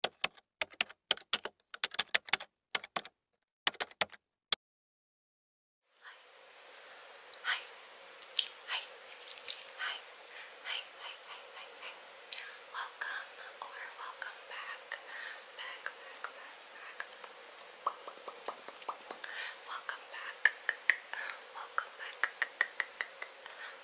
Hi. Hi. Hi. Hi. Hi. Hi. Hi. Hi. Welcome or welcome back. Back. Back. Back. Back. Welcome back. Welcome back. Welcome. Welcome.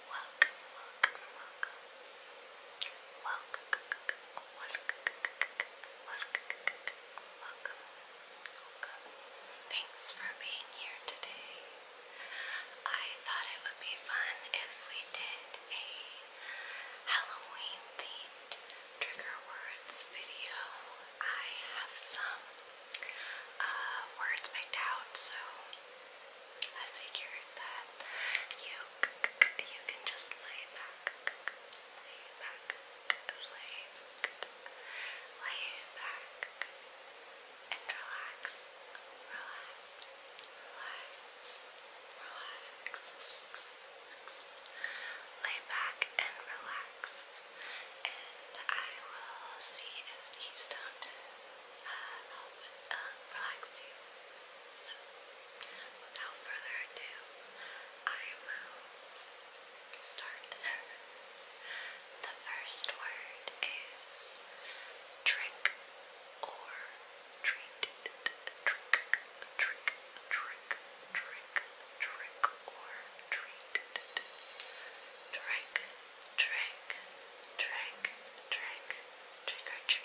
Welcome. Welcome, welcome, Thanks for being here today. I thought it would be fun if we did a Halloween themed trigger words video. I have some uh, words picked out, so I figured that you you can just lay back, lay back, lay, lay back and relax, relax, relax, relax, lay back and relax. And I will see if these don't uh, uh relax you without further ado, I will start. the first word is trick or treat. Trick, trick, trick, trick, trick or treat. Trick, trick, trick, trick, trick or treat.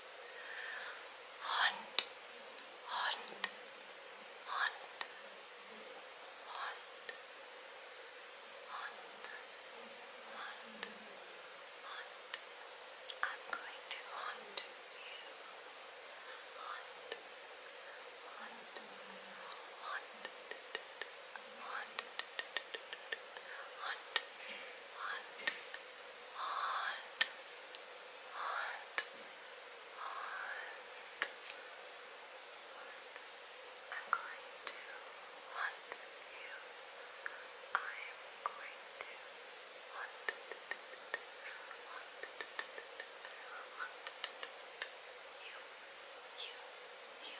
Hand, hand, hand, hand, hand, hand, hand. I'm going to hunt you. Hunt, hunt, hunt, hunt, hunt, hunt, hunt, hunt, hunt. I'm going to hunt you. I am going to hunt, hunt, hunt you, you, you.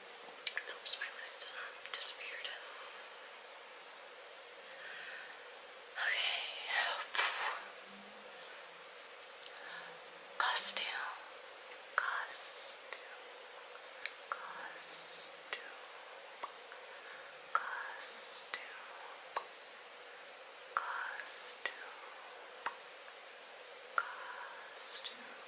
Oops, my list um, disappeared. Okay. Costume. Costume. Costume. Costume. Costume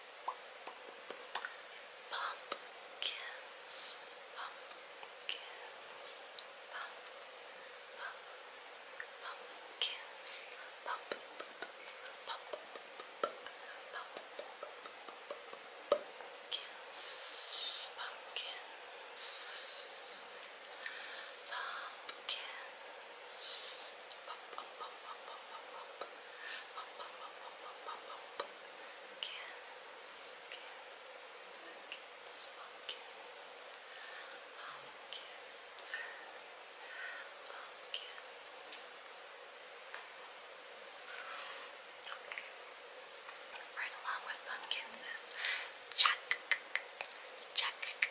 Pumpkins, pumpkins, pump, pump, pumpkins, pump, pump, pump, pumpkins, pumpkins, pumpkins. Okay. Right along with pumpkins is jack, jack, jack,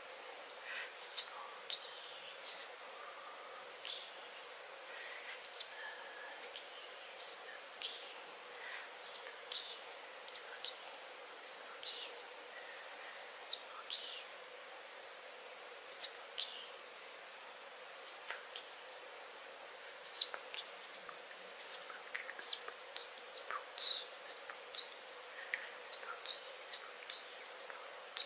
Spooky, spooky, spooky, spooky, spooky, spooky, spooky, spooky, spooky, spooky, spooky, spooky, spooky, spooky, spooky, spooky, spooky, spooky.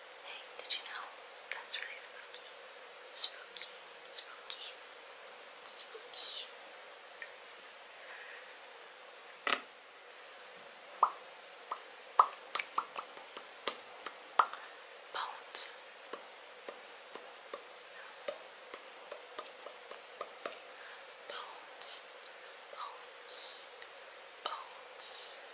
Hey, did you know? That's really spooky. Spooky, spooky, spooky. Bones. Bones. Bones. Bones.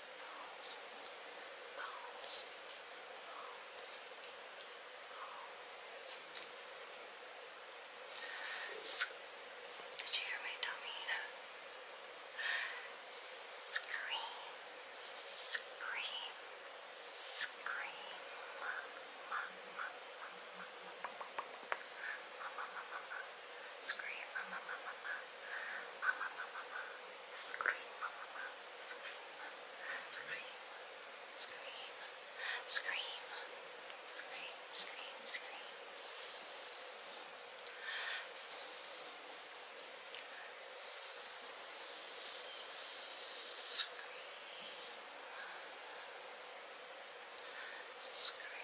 bones, bones, bones, bones. Did you hear my tummy? Scream, scream, scream. Mama, mama, mama, mama, mama, mama, mama, mama. Scream, mama, mama, mama, mama, mama, mama. Scream, mama, mama, scream, scream, scream, scream, scream, scream, scream. Scream. Scream.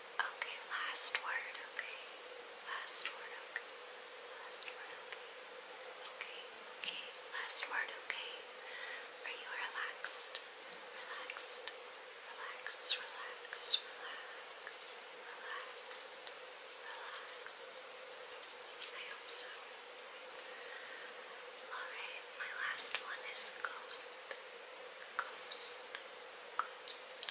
Okay, last word, okay. Last word, okay. Last word, okay. Okay, okay. Last word, okay. Are you relaxed? Relaxed. Relax, relax, relax, relax, relax. I hope so. Alright, my last one is Ghost. Ghost. Ghost.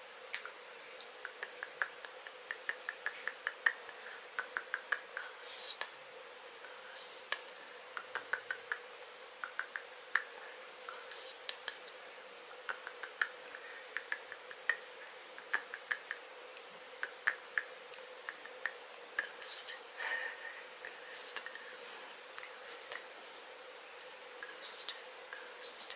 Ghost. Ghost. Ghost. Ghost. Ghost. Ghost. Ghost. Ghost.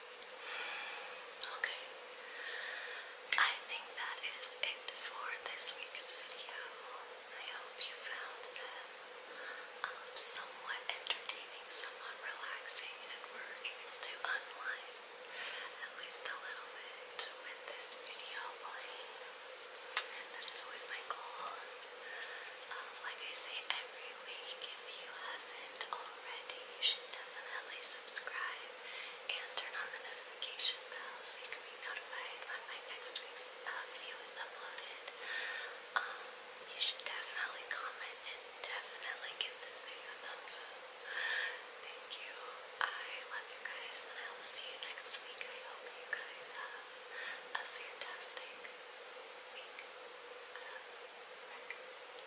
Okay. I think that is it for this week's video. I hope you found them um, somewhat entertaining, somewhat relaxing, and we're able to unwind at least a little bit with this video playing. That is always my goal. Um, like I say every week, if you haven't already, you should definitely subscribe and turn on the notification bell so you can be notified when my next week's uh, video is uploaded. Um, you should definitely comment and definitely give this video a thumbs up. Thank you. I love you guys and I will see you next week. I hope you guys have a fantastic week. Uh,